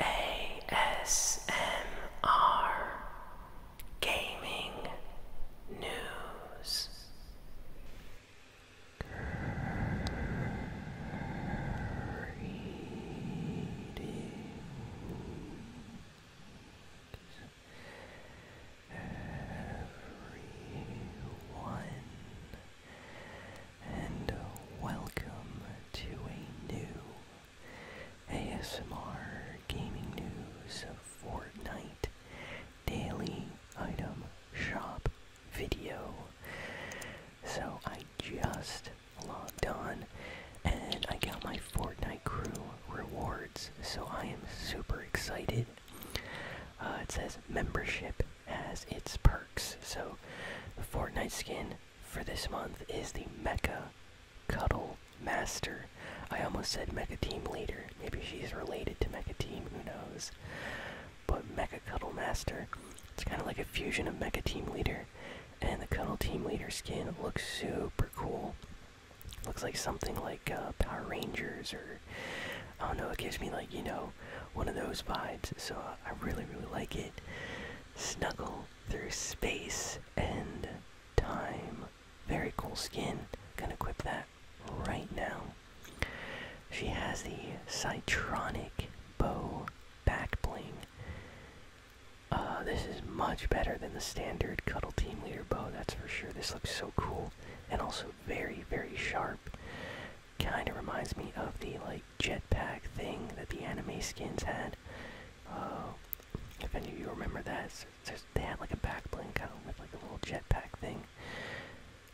ASMR Gaming News everyone, and welcome to a new ASMR Gaming News Fortnite Daily Item Shop video. So I just logged on and I got my Fortnite crew rewards. So I am super excited. Uh, it says membership has its perks. So the Fortnite skin for this month is the Mecha Cuddle Master. I almost said Mecha Team Leader. Maybe she's related to Mecha Team, who knows? but Mecha Cuddle Master. It's kind of like a fusion of Mecha Team Leader, and the Cuddle Team Leader skin looks super cool. Looks like something like uh, Power Rangers, or I don't know, it gives me like, you know, one of those vibes, so uh, I really, really like it. Snuggle through space and time. Very cool skin. Gonna equip that right now. She has the Citronic Bow Back Bling. Uh, this is much better than the standard Cuddle Team Leader bow, that's for sure. This looks so cool and also very, very sharp. Kind of reminds me of the like jetpack thing that the anime skins had. Uh, if any of you remember that, there's, there's, they had like a back bling kind of with like a little jetpack thing.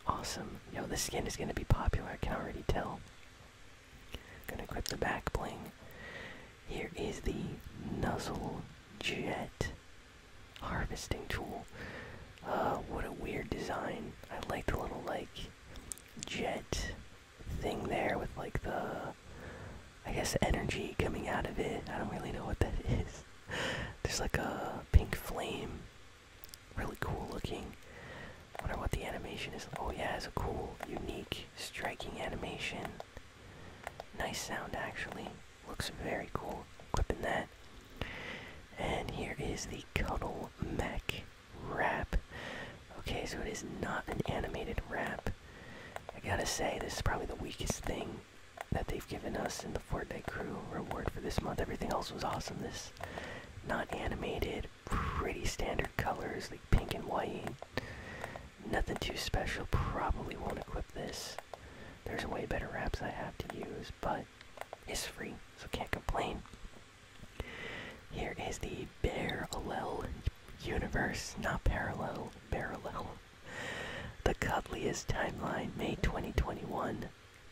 Awesome. Yo, this skin is gonna be popular. I can already tell. Gonna equip the back bling. Here is the Nuzzle Jet harvesting tool. Uh, what a weird design. I like the little like jet thing there with like the I guess energy coming out of it. I don't really know what that is. There's like a pink flame. Really cool looking. Wonder what the animation is. Oh yeah, it's a cool, unique, striking animation. Nice sound actually. Looks very cool. Equipping that. And here is the Cuddle Mech wrap. Okay, so it is not an animated wrap. I gotta say, this is probably the weakest thing that they've given us in the Fortnite crew reward for this month. Everything else was awesome. This not animated, pretty standard colors like pink and white. Nothing too special. Probably won't equip this. There's way better wraps I have to use, but it's free, so can't complain. Here is the Bear universe, not parallel, Parallel the cuddliest timeline, May 2021.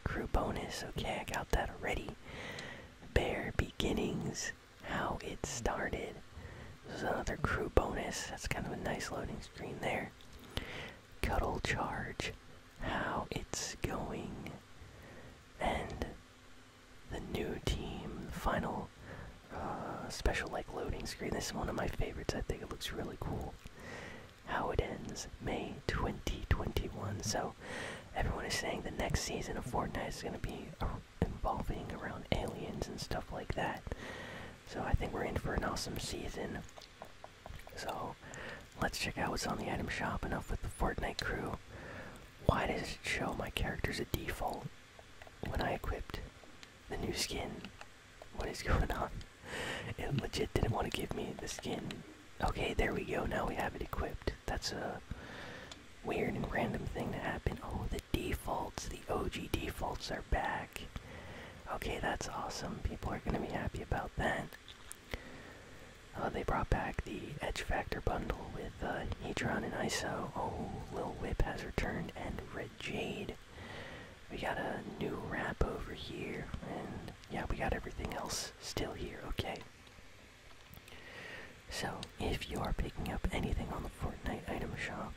Crew bonus, okay, I got that already. Bare beginnings, how it started. This is another crew bonus. That's kind of a nice loading screen there. Cuddle charge, how it's going. And the new team, final uh, special like loading screen. This is one of my favorites. I think it looks really cool how it ends May 2021. So everyone is saying the next season of Fortnite is going to be involving around aliens and stuff like that. So I think we're in for an awesome season. So let's check out what's on the item shop. Enough with the Fortnite crew. Why does it show my character as a default when I equipped the new skin. What is going on? It legit didn't want to give me the skin. Okay, there we go. Now we have it equipped. That's a weird and random thing to happen. Oh, the defaults, the OG defaults are back. Okay, that's awesome. People are going to be happy about that. Oh, they brought back the Edge Factor bundle with uh, and ISO. Oh, Lil Whip has returned, and Red Jade. We got a new wrap over here, and yeah, we got everything else still here, okay? So, if you are picking up anything on the Fortnite item shop,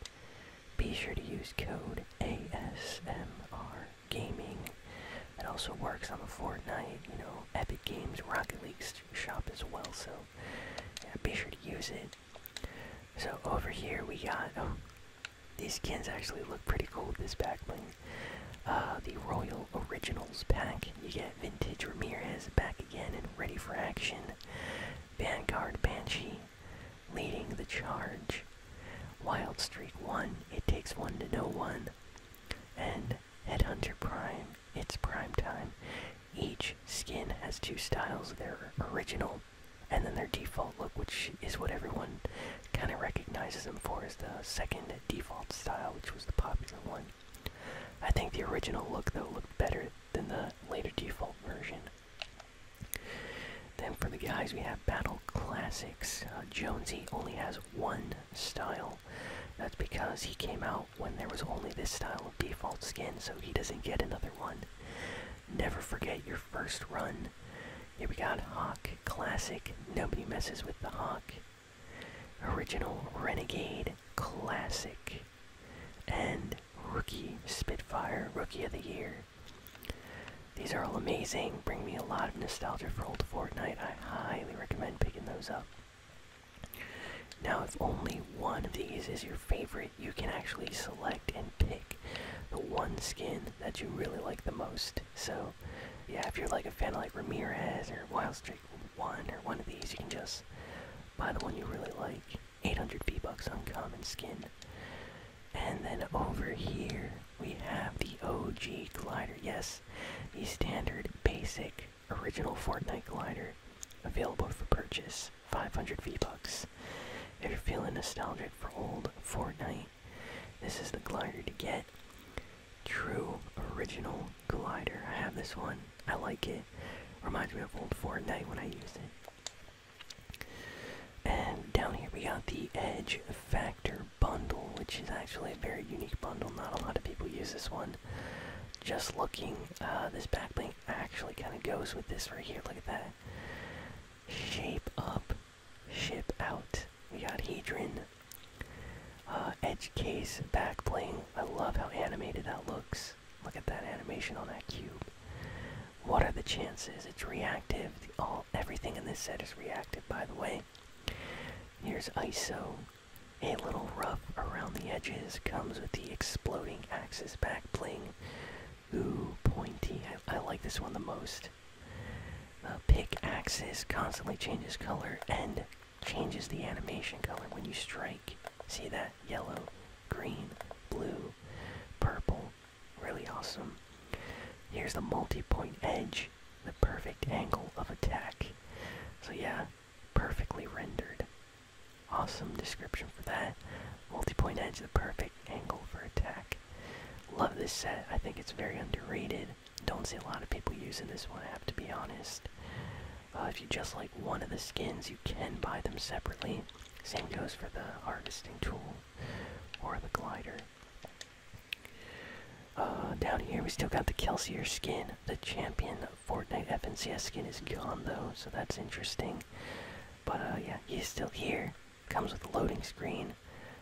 be sure to use code ASMR Gaming. It also works on the Fortnite, you know, Epic Games, Rocket League shop as well, so yeah, be sure to use it. So over here we got um, these skins actually look pretty cool this back uh, the Royal Originals pack. You get Vintage Ramirez back again and ready for action. Vanguard Banshee leading the charge. Wild Street 1, it takes one to know one. And Headhunter Prime, it's prime time. Each skin has two styles, their original and then their default look, which is what everyone kind of recognizes them for, is the second default style, which was the popular one. I think the original look, though, looked better than the later default version. Then for the guys, we have Battle Classics. Uh, Jonesy only has one style. That's because he came out when there was only this style of default skin, so he doesn't get another one. Never forget your first run. Here we got Hawk Classic. Nobody messes with the Hawk. Original Renegade Classic. And Rookie Spitfire Rookie of the Year. These are all amazing, bring me a lot of nostalgia for old Fortnite. I highly recommend picking those up. Now, if only one of these is your favorite, you can actually select and pick the one skin that you really like the most. So, yeah, if you're like a fan of like Ramirez or Wildstreak 1 or one of these, you can just buy the one you really like. 800 V-Bucks on common skin. And then over here, we have the OG glider. Yes, the standard basic original Fortnite glider, available for purchase, 500 V-Bucks. If you're feeling nostalgic for old Fortnite, this is the glider to get. True original glider. I have this one. I like it. Reminds me of old Fortnite when I use it. And down here we got the Edge Factor bundle, which is actually a very unique bundle. Not a lot of people use this one. Just looking, uh, this back actually kind of goes with this right here. Look at that. Shape up, ship out. We got Hedron. Uh, edge case back bling. I love how animated that looks. Look at that animation on that cube. What are the chances? It's reactive. all everything in this set is reactive, by the way. Here's ISO. A little rough around the edges comes with the exploding axis back bling. Ooh, pointy. I, like this one the most. The pick axis constantly changes color and changes the animation color when you strike. See that? Yellow, green, blue, purple. Really awesome. Here's the multi-point edge, the perfect angle of attack. So yeah, perfectly rendered. Awesome description for that. Multi-point edge, the perfect angle for attack. Love this set. I think it's very underrated. Don't see a lot of people using this one, I have to be honest. Uh, if you just like one of the skins, you can buy them separately. Same goes for the harvesting tool or the glider. Uh, down here, we still got the Kelsier skin, the champion Fortnite FNCS skin is gone though, so that's interesting. But uh, yeah, he's still here. Comes with a loading screen,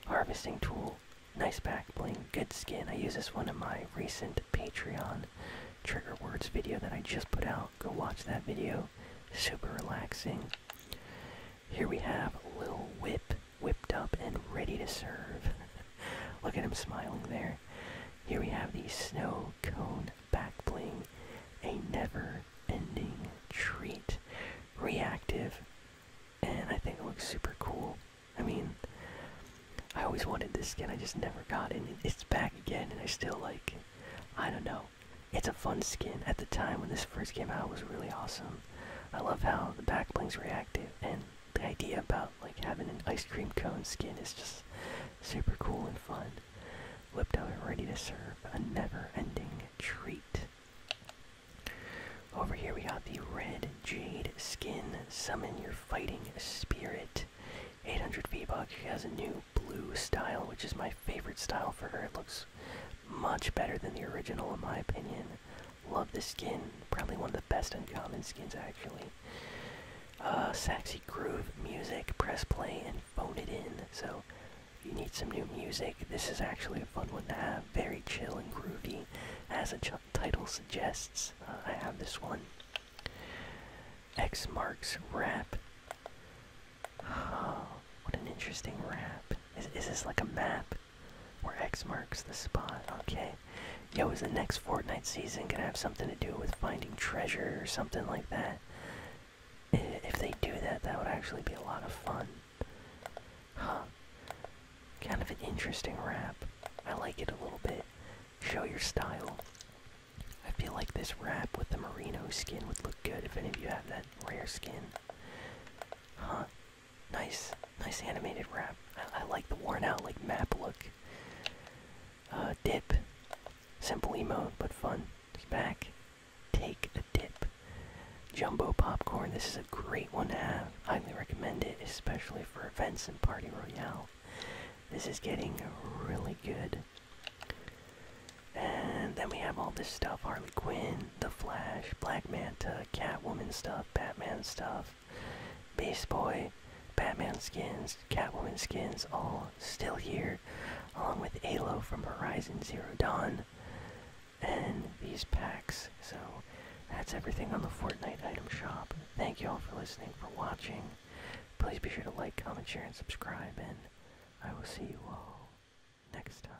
harvesting tool, nice back bling, good skin. I use this one in my recent Patreon trigger words video that I just put out. Go watch that video. Super relaxing. Here we have Lil Whip, whipped up and ready to serve. Look at him smiling there. Here we have the snow cone back bling, a never-ending treat, reactive, and I think it looks super cool. I mean, I always wanted this skin, I just never got it. And it's back again, and I still like. I don't know. It's a fun skin. At the time when this first came out, was really awesome. I love how the back bling's reactive and the idea about like having an ice cream cone skin is just super cool and fun. Whipped up and ready to serve. A never-ending treat. Over here we got the red jade skin. Summon your fighting spirit. 800 V-Bucks. She has a new blue style, which is my favorite style for her. It looks much better than the original in my opinion. Love the skin. Probably one of the best uncommon skins, actually. Uh, sexy groove music. Press play and phone it in. So, you need some new music, this is actually a fun one to have. Very chill and groovy, as the title suggests. Uh, I have this one. X marks rap. Oh, what an interesting rap. Is, is this like a map? where X marks the spot. Okay. Yo, is the next Fortnite season gonna have something to do with finding treasure or something like that? If they do that, that would actually be a lot of fun. Huh. Kind of an interesting rap. I like it a little bit. Show your style. I feel like this wrap with the merino skin would look good if any of you have that rare skin. Huh. Nice, nice animated wrap. I, like the worn out like map look. Uh, dip, simple emote but fun. back. Take a dip. Jumbo popcorn. This is a great one to have. Highly recommend it, especially for events and party royale. This is getting really good. And then we have all this stuff: Harley Quinn, The Flash, Black Manta, Catwoman stuff, Batman stuff. Beast Boy, Batman skins, Catwoman skins, all still here, along with Halo from Horizon Zero Dawn, and these packs. So that's everything on the Fortnite item shop. Thank you all for listening, for watching. Please be sure to like, comment, share, and subscribe, and I will see you all next time.